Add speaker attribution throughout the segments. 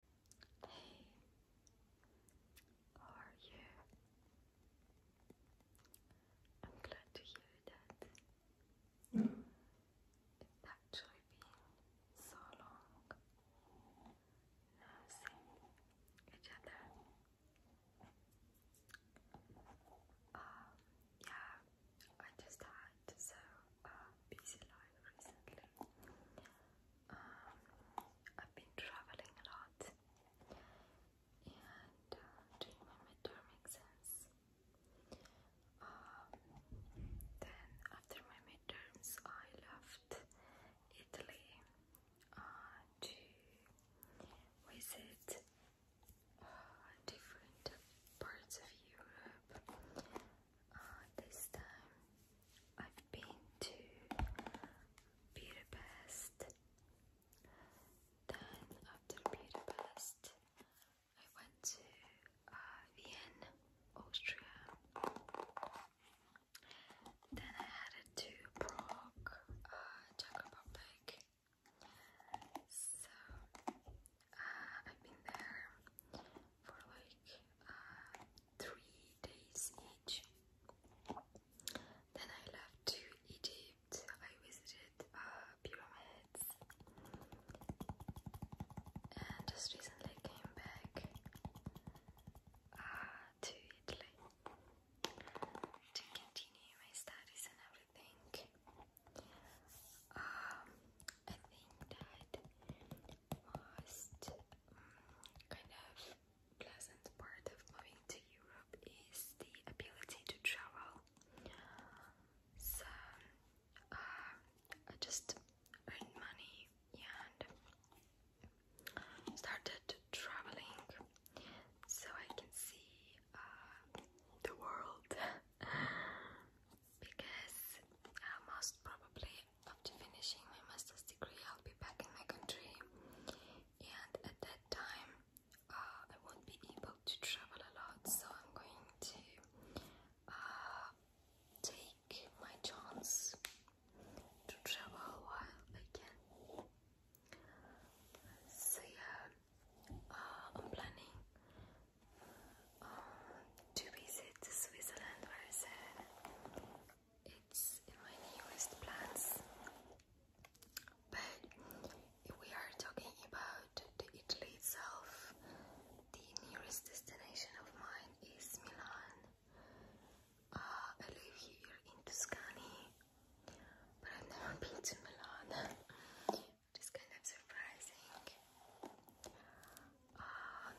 Speaker 1: Hey, how are you? I'm glad to hear that. It's actually been so long now seeing each other. Um, yeah, I just had so uh, busy life recently. Um, I've been traveling a lot and uh, my midterm exams. Um, then after my midterms, I left Italy uh, to visit uh, different parts of Europe Ah, this time I've been to Budapest. Then after Budapest, I went to uh, Vienna, Austria. Then I headed to Prague, uh, Czech Republic. So uh, I've been there for like uh, three days each. Then I left to Egypt. I visited uh, pyramids and just recently came back uh, to Italy to continue my studies and everything. Um, I think that most kind of pleasant part of moving to Europe is the ability to travel. So uh, I just earned money and started traveling so I can see uh, the world because uh, most probably after finishing my master's degree, I'll be back in my country, and at that time, uh, I won't be able to travel a lot, so I'm going to uh, take my chance to travel while I So, uh, I'm planning um, to visit Switzerland where I said it's my newest plans. But if we are talking about Italy itself, the nearest destination of mine is Milan. Uh, I live here in Tuscany, but I've never been to Milan. Which kind of surprising. Uh,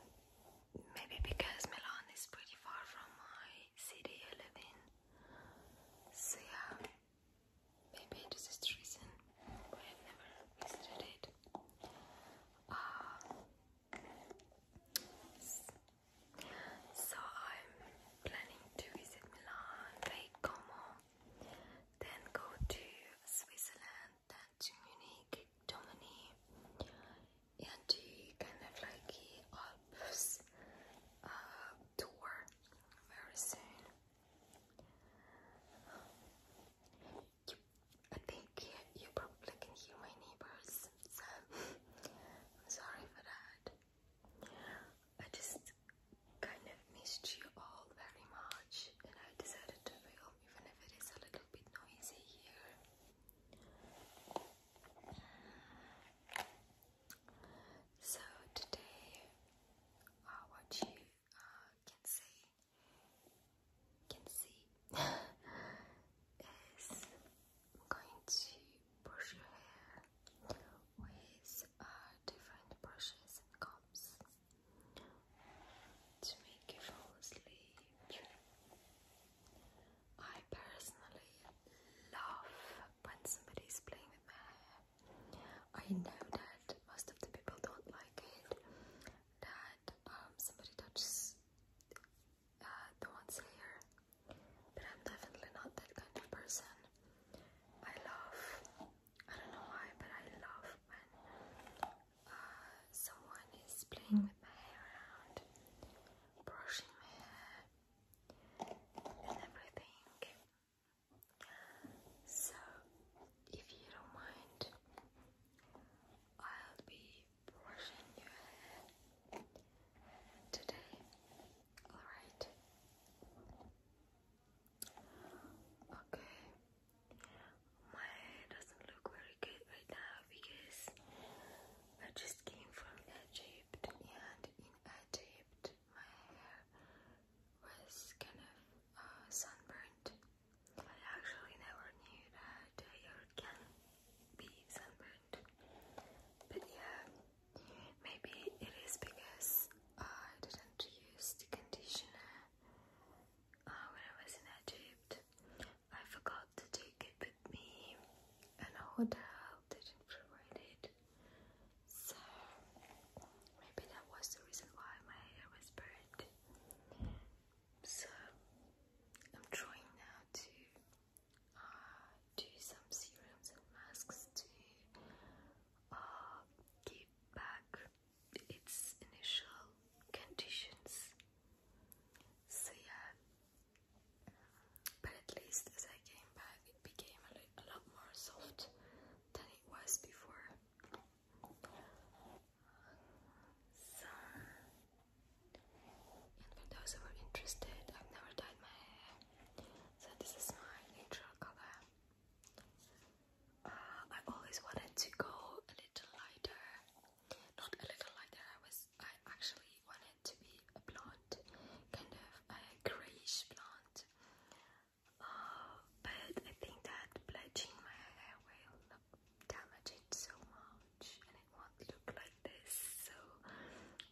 Speaker 1: maybe because Milan is pretty far from my city I live in. So yeah, maybe this is the reason why I've never visited it. Uh, so I'm planning to visit Milan, like Como, then go to Switzerland that's unique, Domini, and he kind of like he opens a uh, tour very soon. I think you, you probably can hear my neighbors, so I'm sorry for that. I just kind of missed you all very much, and I decided to film even if it is a little bit noisy here. So today, uh, what you uh, can see, can see, is I'm going to brush your hair with uh, different brushes and combs to make you fall asleep. I personally love when somebody's playing with my hair. I know that most of the people don't like it, that um, somebody touches uh, the one's here, but I'm definitely not that kind of person. I love, I don't know why, but I love when uh, someone is playing with my hair around, brushing my hair and everything. So, if you don't mind, I'll be brushing your hair today. Alright. Okay. My hair doesn't look very good right now because I just came from Egypt and in Egypt my hair was kind of uh, sunburned. I actually never knew that hair can be sunburned. But yeah, maybe it is because I didn't use the conditioner uh, when I was in Egypt. I forgot to take it with me, and a hotel didn't provide it. So maybe that was the reason why my hair was burnt. So I'm trying now to uh, do some serums and masks to uh, give back its initial conditions. So yeah, but at least as I came back, it became a, lot more soft than it was before. So, and for those who are interested, I've never dyed my hair, so this is my natural color. I always wanted to go a little lighter, not a little lighter. I was I actually wanted to be a blonde, kind of a grayish blonde. Uh, but I think that bleaching my hair will damage it so much, and it won't look like this. So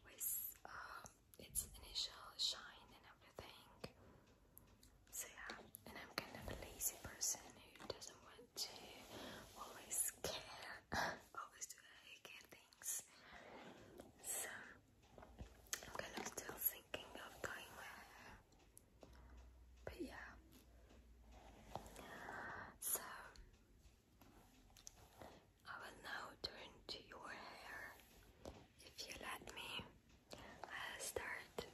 Speaker 1: with uh, its initial shine and everything. So yeah, and I'm kind of a lazy person who doesn't want to always care, always do the care things. So I'm kind of still thinking of dyeing my But yeah. So I will now turn to your hair if you let me. I'll start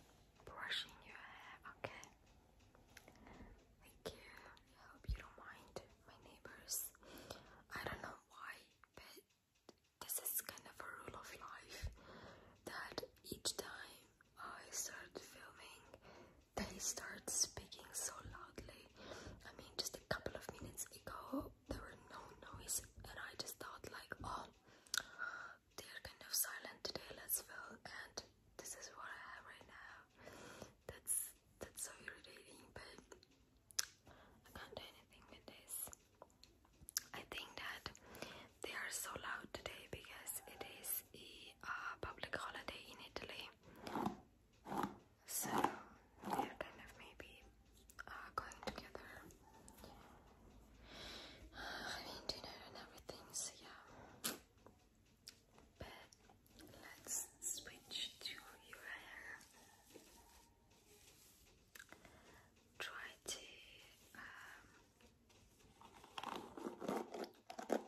Speaker 1: brushing your hair, okay? Thank you. I hope you don't mind my neighbors. I don't know why, but this is kind of a rule of life that each time I start filming, they start speaking so loudly. I mean, just a couple of minutes ago, there were no noise, and I just thought, like, oh, they're kind of silent today let's well and this is what I have right now. That's that's so irritating but I can't do anything with this. I think that they are so loud today because it is a public holiday in Italy. So they're kind of maybe uh, going together. I mean dinner and everything, so yeah. But let's switch to your hair. Try to um,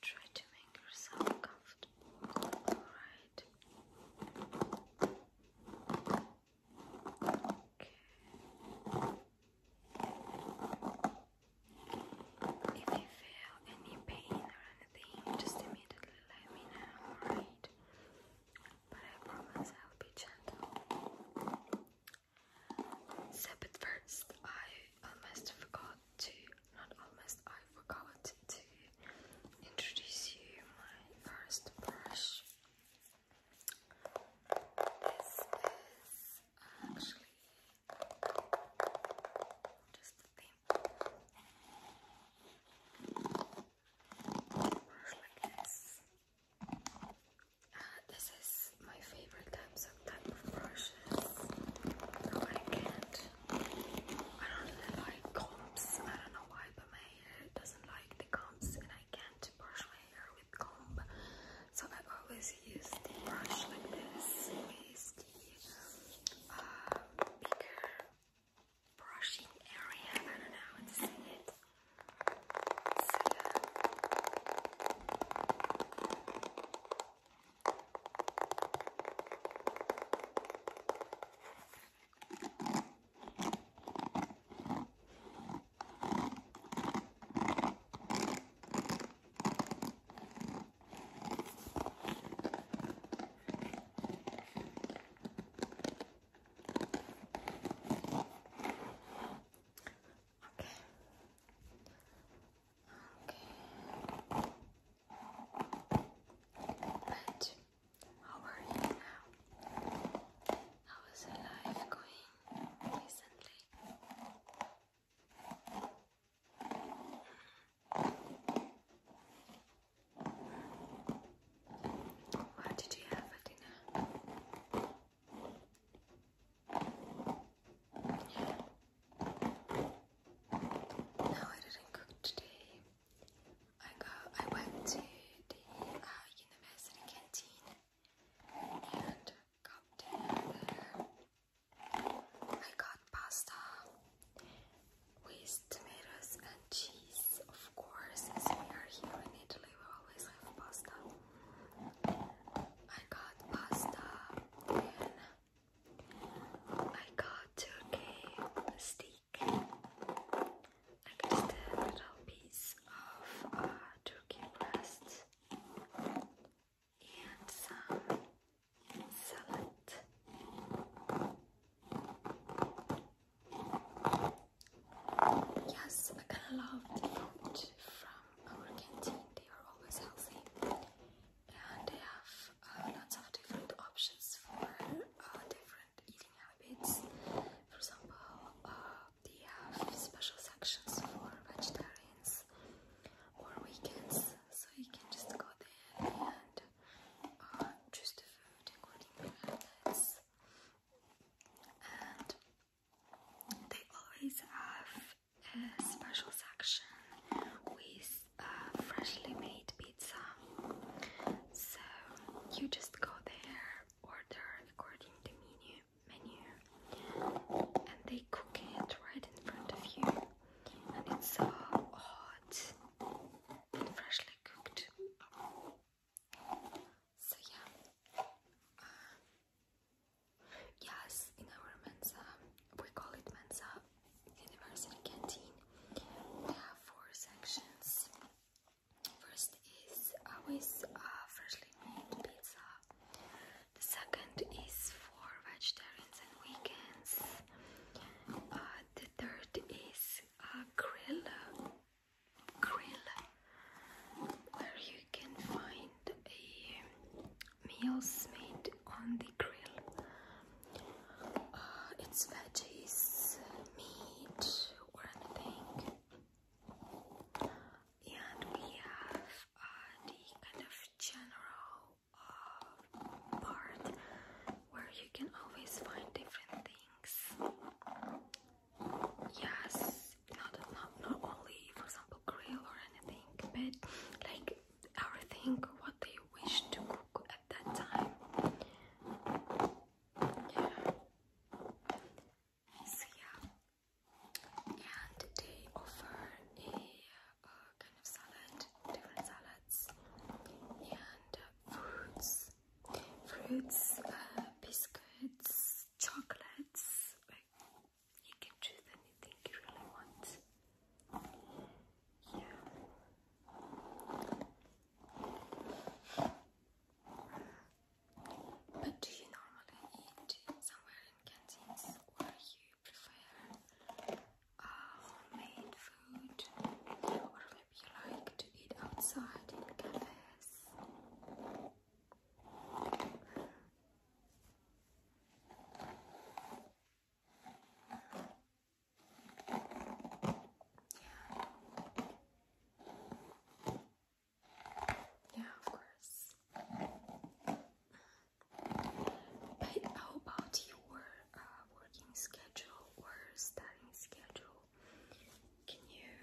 Speaker 1: try to make yourself comfortable. All right. If you feel any pain or anything, just immediately let me know, alright? But I promise I'll be gentle. but first, I almost forgot to, not almost, I forgot to introduce you my first brush. This is actually just the thing. Brush like this. this is my favorite types of type of brushes. I can't. I don't like combs. I don't know why, but my hair doesn't like the combs, and I can't brush my hair so I always use the brush like this with uh, the bigger brushing area. I don't know but how are you now? How is the life going? recently. What did you have for dinner? Yeah. No, I didn't cook today. I go. I went to the uh, university canteen and got I got pasta with tomatoes and cheese, of course, as we are here in Italy, we always have pasta. I got pasta and I got turkey steak I got a little piece of uh, turkey breast and some salad. Yes, I kind of love the food from our canteen. They are always healthy, and they have uh, lots of different options for uh, different eating habits. For example, uh, they have special sections for vegetarians or vegans, so you can just go there and uh, choose the food according to your habits. And they always have a special section with uh, freshly made pizza. So you just go there order according to menu, menu and they cook it right in front of you and it's so hot and freshly cooked. So yeah. Uh, yes, in our Mensa, we call it Mensa University Canteen. We have four sections. First is always uh, freshly made pizza. The second is for vegetarians and vegans. Uh, the third is a grill, grill, where you can find a meals made on the grill. Uh, it's veggies, meat, or anything and we have uh, the kind of general uh, part where you can always find different things. Yes, not not not only for example grill or anything, but like everything what they wish to cook at that time. Yeah. So yeah, and they offer a uh, kind of salad, different salads, and uh, fruits, fruits, uh, biscuits, chocolates. Like you can choose anything you really want. Yeah. But do you normally eat somewhere in canteens or you prefer uh, homemade food? Or maybe you like to eat outside in cafes? Yeah, of course. But about your uh, working schedule or studying schedule? Can you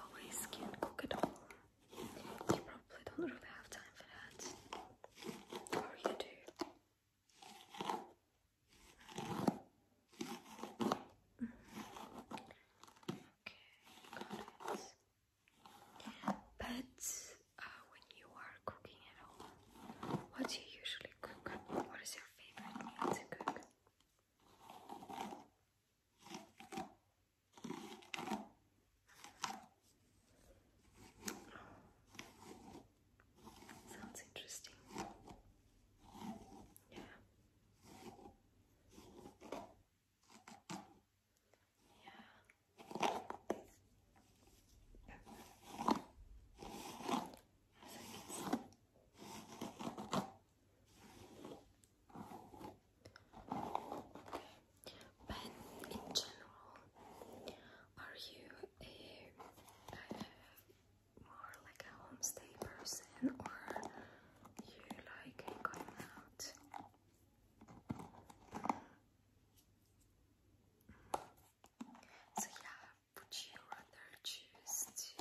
Speaker 1: always can cook at home? You probably don't really have time for that. Or you do? But uh, when you are cooking at home, what do you usually cook? What is your favorite meal to cook? Sounds interesting. Yeah. Yeah. But in general, are you a more like a homestay person or you like going out? So yeah, would you rather choose to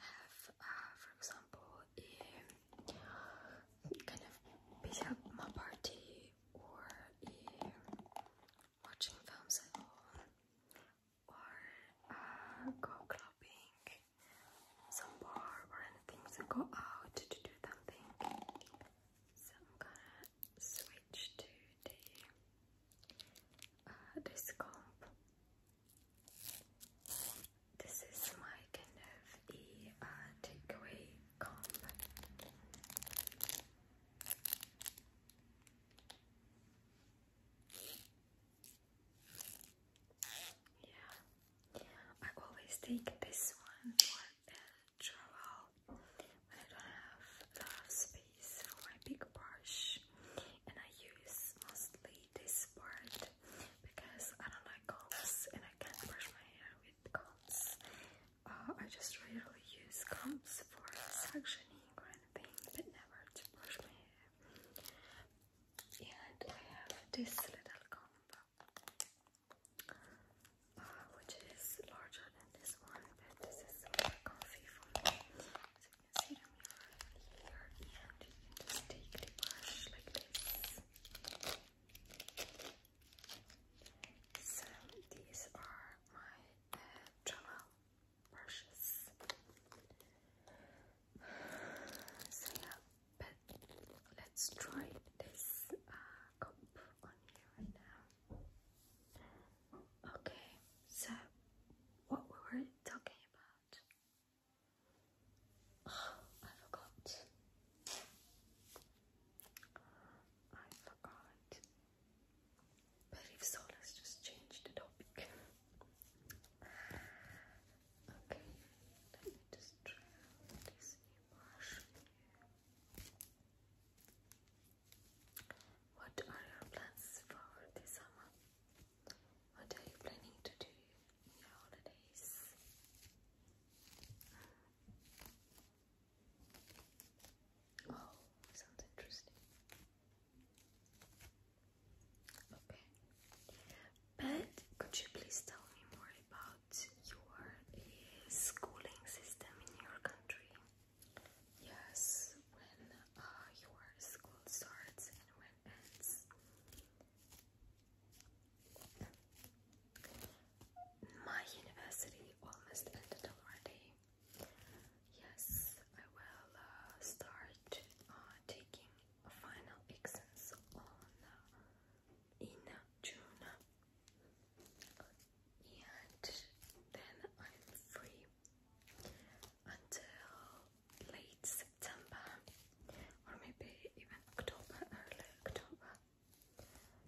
Speaker 1: have, uh, for example, a kind of pyjama party or a watching films at home or uh, go clubbing, some bar or anything, so go out to do something. So I'm gonna switch to the uh, this This is my kind of a uh, takeaway comp. Yeah, I always take this one for a travel when I don't have a space for my big brush, and I use mostly this part because I don't like combs and I can't brush my hair with combs. Uh, I just rarely use combs for suctioning or anything, but never to brush my hair and I have this little combo uh, which is larger than this one this is super comfy for me you can see them here and you can just take the brush like this so these are my uh, brushes. So yeah, but let's try this uh, cup on you right now. Okay, so what we were talking about? Oh, I forgot. I forgot. But if so, let's just change the topic. Okay, let me just try this brush. What are your plans for this summer? What are you planning to do your holidays? Oh, sounds interesting. Okay. But could you please tell me more about your uh, schooling system in your country? Yes, when uh, your school starts and when ends. My university almost ended already. Yes, I will uh, start uh, taking final exams on uh, in June, and then I'm free until late September or maybe even October, early October.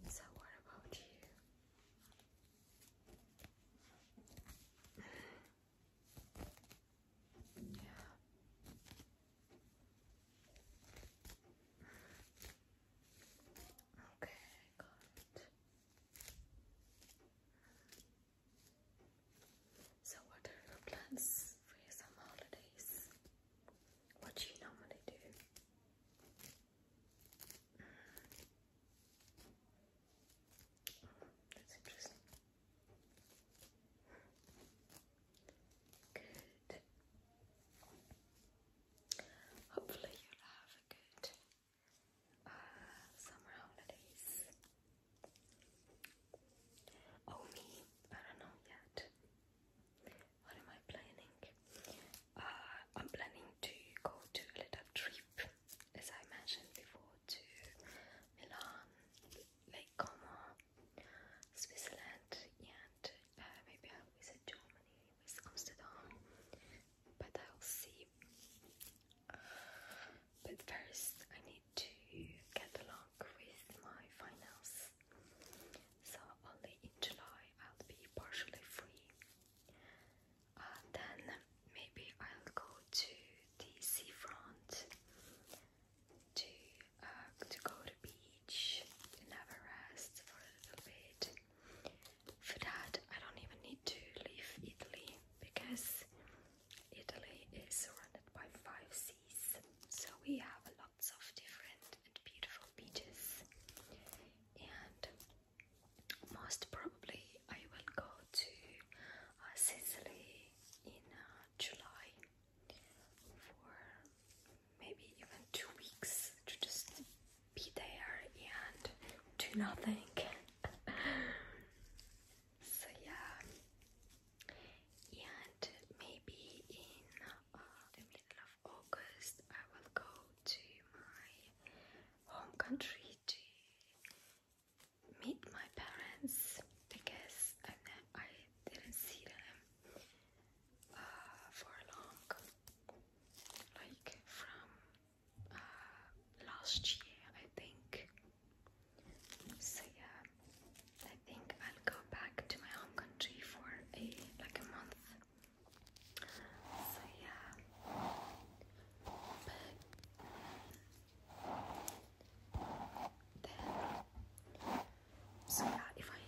Speaker 1: So, what about you? Okay, got it. So, what are your plans for your holidays? What do you normally do? That's interesting. Good. Hopefully you'll have a good uh, summer holidays. Oh me, I don't know yet. What am I planning? Uh, I'm planning to go to a little trip as I mentioned before, to Milan, Lake Como, Switzerland, and uh, maybe I'll Germany with Amsterdam. But I'll see. But first, I need to get along with my finals. So only in July I'll be partially free. Uh, then maybe I'll go to the seafront to uh, to go to beach to never rest for a little bit. For that, I don't even need to leave Italy because Italy is surrounded by five seas, so we have lots of different and beautiful beaches. And most probably I will go to uh, Sicily in uh, July for maybe even two weeks to just be there and do nothing. so yeah, and maybe in the uh, middle of August I will go to my home country to meet my parents because I I didn't see them uh, for long, like from uh, last year I think. So yeah, I think I'll go back to my home country for a like a month. So yeah but then so yeah if I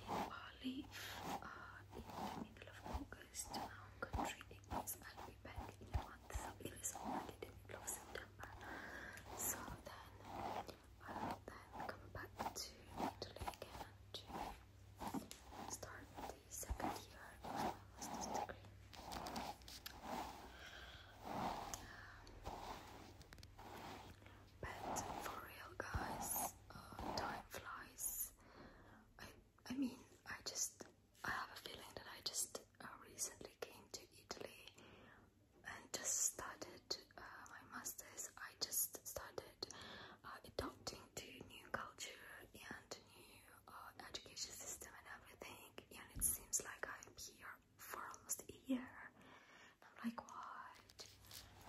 Speaker 1: leave uh, in the middle of August now country it means I'll be back in a month so it is already the middle of September so then I'll then come back to Italy again to start second year master's degree. But for real, guys, uh, time flies. I, I mean, I just I have a feeling that I just uh, recently came to Italy and just started uh, my master's. I just started adapting to new culture and new uh, education system and everything and it seems like I'm here for almost a year I'm like what?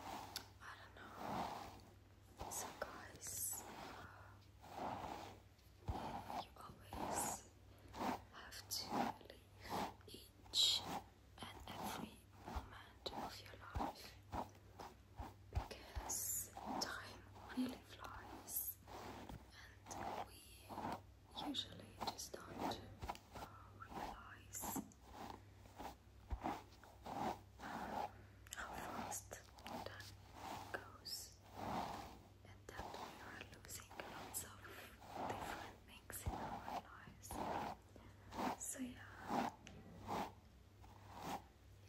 Speaker 1: I don't know so guys uh, you always have to live each and every moment of your life because time really flies and we usually just don't uh, realize how fast time goes and that we are losing lots different things in our lives. So yeah,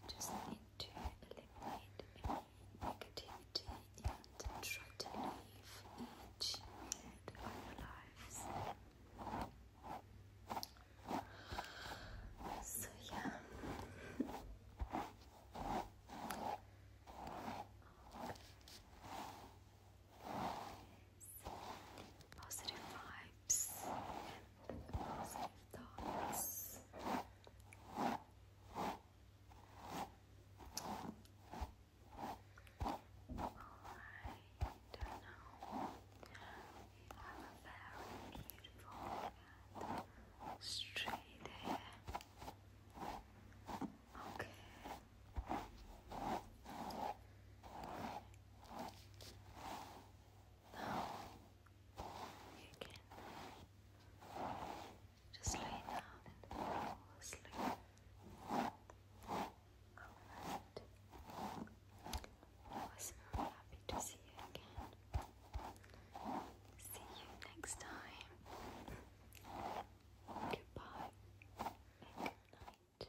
Speaker 1: you just need to eliminate any negativity and try to live each minute of your lives. So yeah. Positive vibes and positive thoughts. I don't know. You have a very beautiful straight hair. Okay. Now you just lay down and fall asleep. Alright. I was so happy to see you again. See you next time. Goodbye good night.